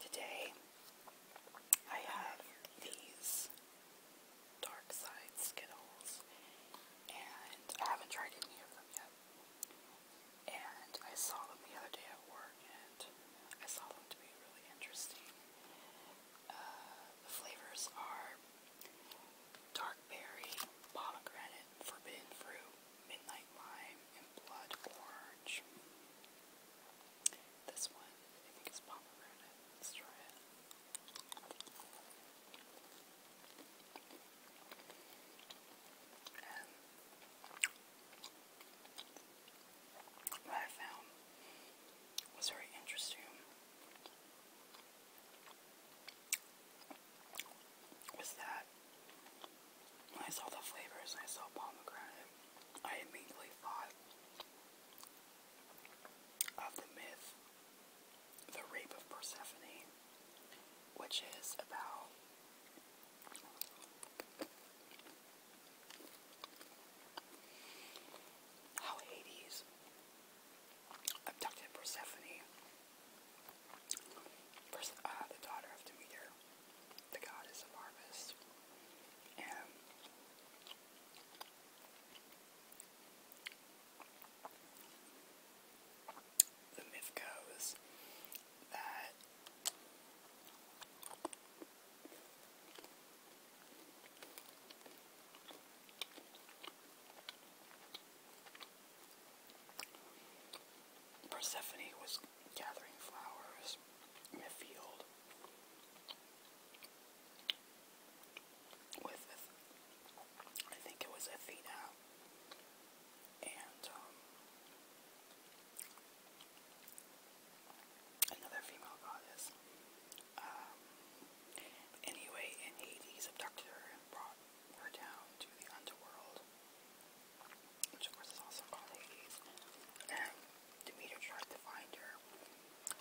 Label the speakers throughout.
Speaker 1: Today, I have these Dark Side Skittles, and I haven't tried any of them yet. And I saw them the other day at work, and I saw them to be really interesting. Uh, the flavors are dark berry, pomegranate, forbidden fruit, Midnight Lime and Blood Orange. This one, I think it's pomegranate. Let's try it. what I found was very interesting was that I saw the flavors and I saw pomegranate, I immediately thought of the myth, The Rape of Persephone, which is about how Hades abducted Persephone, uh, the daughter of Demeter, the goddess of harvest. And the myth goes that Persephone was gathering flowers in a field with, I think it was Athena, and um, another female goddess. Um, anyway, and Hades abducted her and brought her down to the underworld, which of course is also called Hades. And Demeter tried to find her,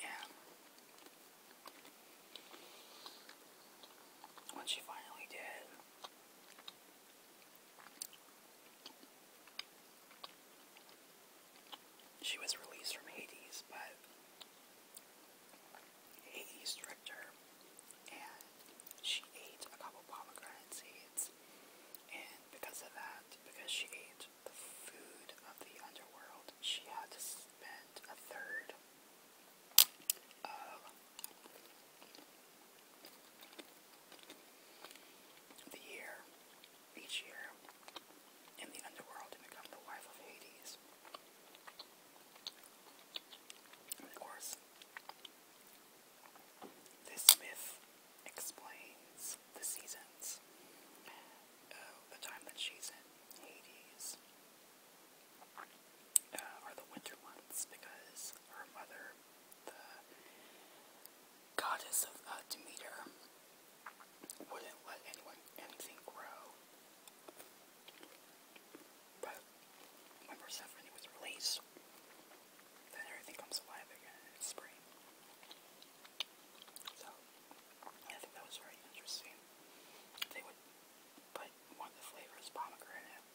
Speaker 1: and when she finally did, she was released from Hades, but Hades tricked her and she ate a couple pomegranate seeds. And because of that, because she ate the food of the underworld, she had to spend a third of the year, each year, in the underworld to become the wife of Hades. of course, this myth explains the seasons. Uh, the time that she's in Hades uh, are the winter months because her mother, the goddess of uh, Demeter, wouldn't let anyone anything grow. But remember stuff when was released, then everything comes alive again in spring. So I think that was very interesting. They would put one of the flavors pomegranate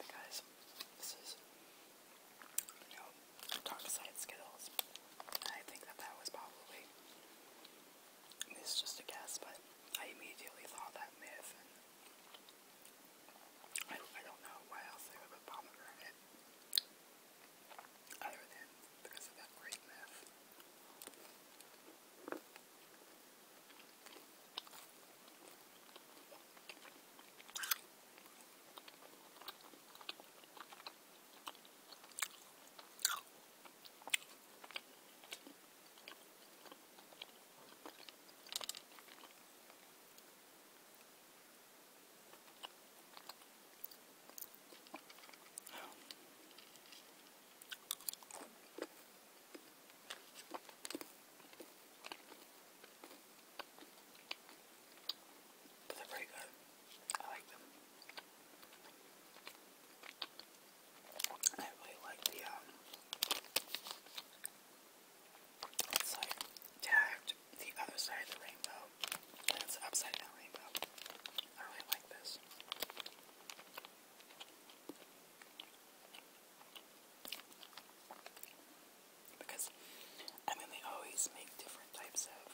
Speaker 1: because this is you know dark side Skittles. I think that that was probably this is just a guess, but I immediately thought that myth I, don't know why else they would put pomegranate other than because of that great myth. But they're pretty good. I like them. I really like the, um, it's like tagged the other side of the rainbow, and it's upside down rainbow. I really like this. Because, I mean, they always make different types of,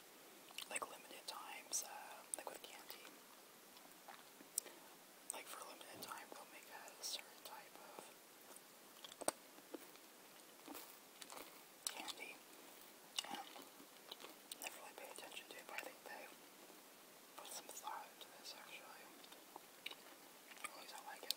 Speaker 1: like, limited times, uh, like with candy like for a limited time they'll make a certain type of candy. Um never really pay attention to it, I think they put some thought into this actually. At least I like it.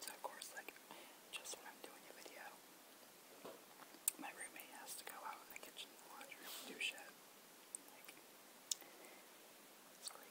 Speaker 1: So of course, like, just when I'm doing a video, my roommate has to go out in the kitchen the laundry room do shit. it's great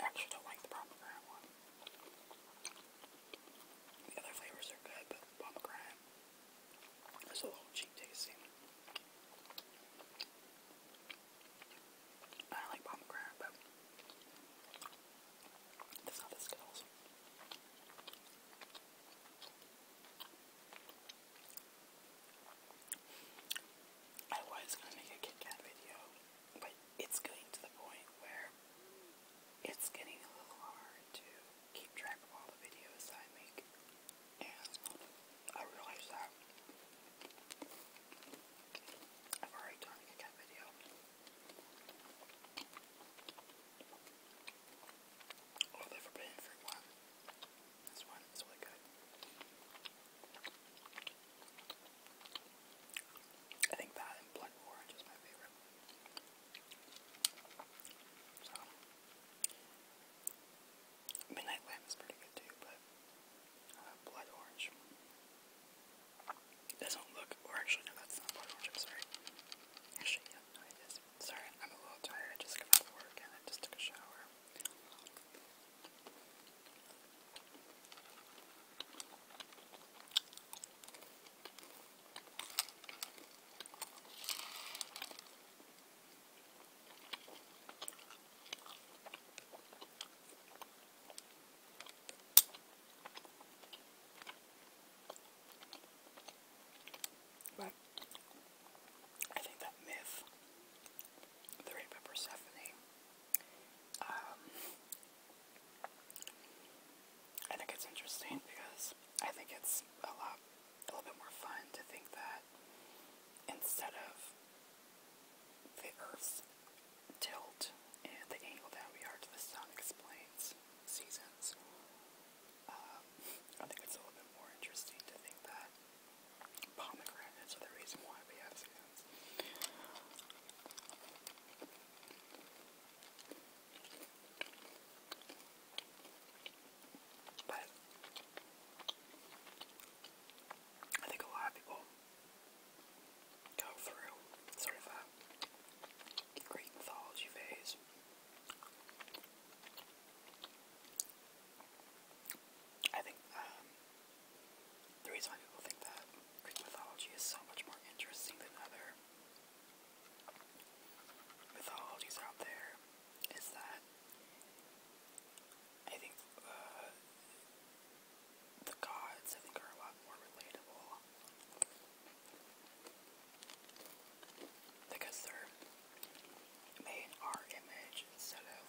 Speaker 1: I actually don't like the pomegranate one. The other flavors are good, but pomegranate is a little cheap tasting. I like pomegranate, but that's not the Skittles. I was gonna make a Kit video, but it's getting to the point where it's getting a little hard to keep track of all the videos I make, and I realize I've already done a cat video. Oh, the Forbidden Fruit one. This one is really good. I think that and Blood Orange is my favorite. Midnight Lamb is pretty good too, but uh, Blood Orange it doesn't look, or actually, no, that's not Blood Orange, I'm sorry. Actually, yeah, it is. Sorry, I'm a little tired. I just got off work and I just took a shower. But I think that myth, the rape of Persephone, um, I think it's interesting because I think it's a lot, a little bit more fun to think that instead of the Earth's tilt and the angle that we are to the sun explains seasons. Um, I think it's a little bit more interesting to think that pomegranates are the reason why we have seasons. But I think a lot of people go through sort of a Greek mythology phase. I think um, the reason why people think that Greek mythology is so much more interesting than other mythologies out there is that I think uh, the gods I think are a lot more relatable because they're made in our image instead of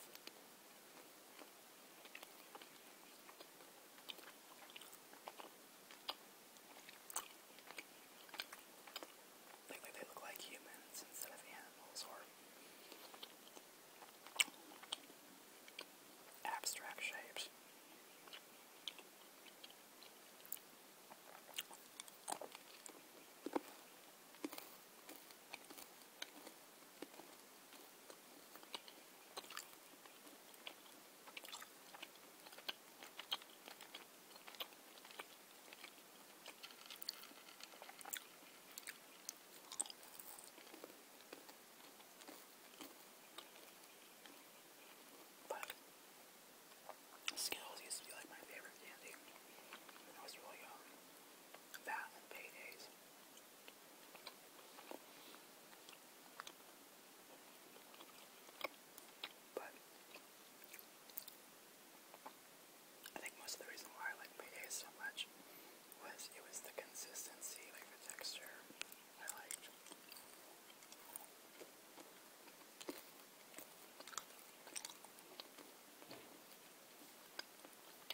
Speaker 1: like, they look like humans instead of animals or abstract shapes. But Skittles used to be like my favorite candy when I but I think most of the reason why I like Payday so much was it was the consistency, like the texture I liked.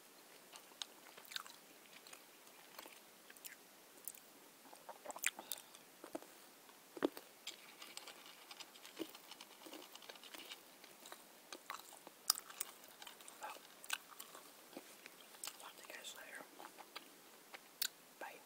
Speaker 1: Well, talk to you guys later. Bye.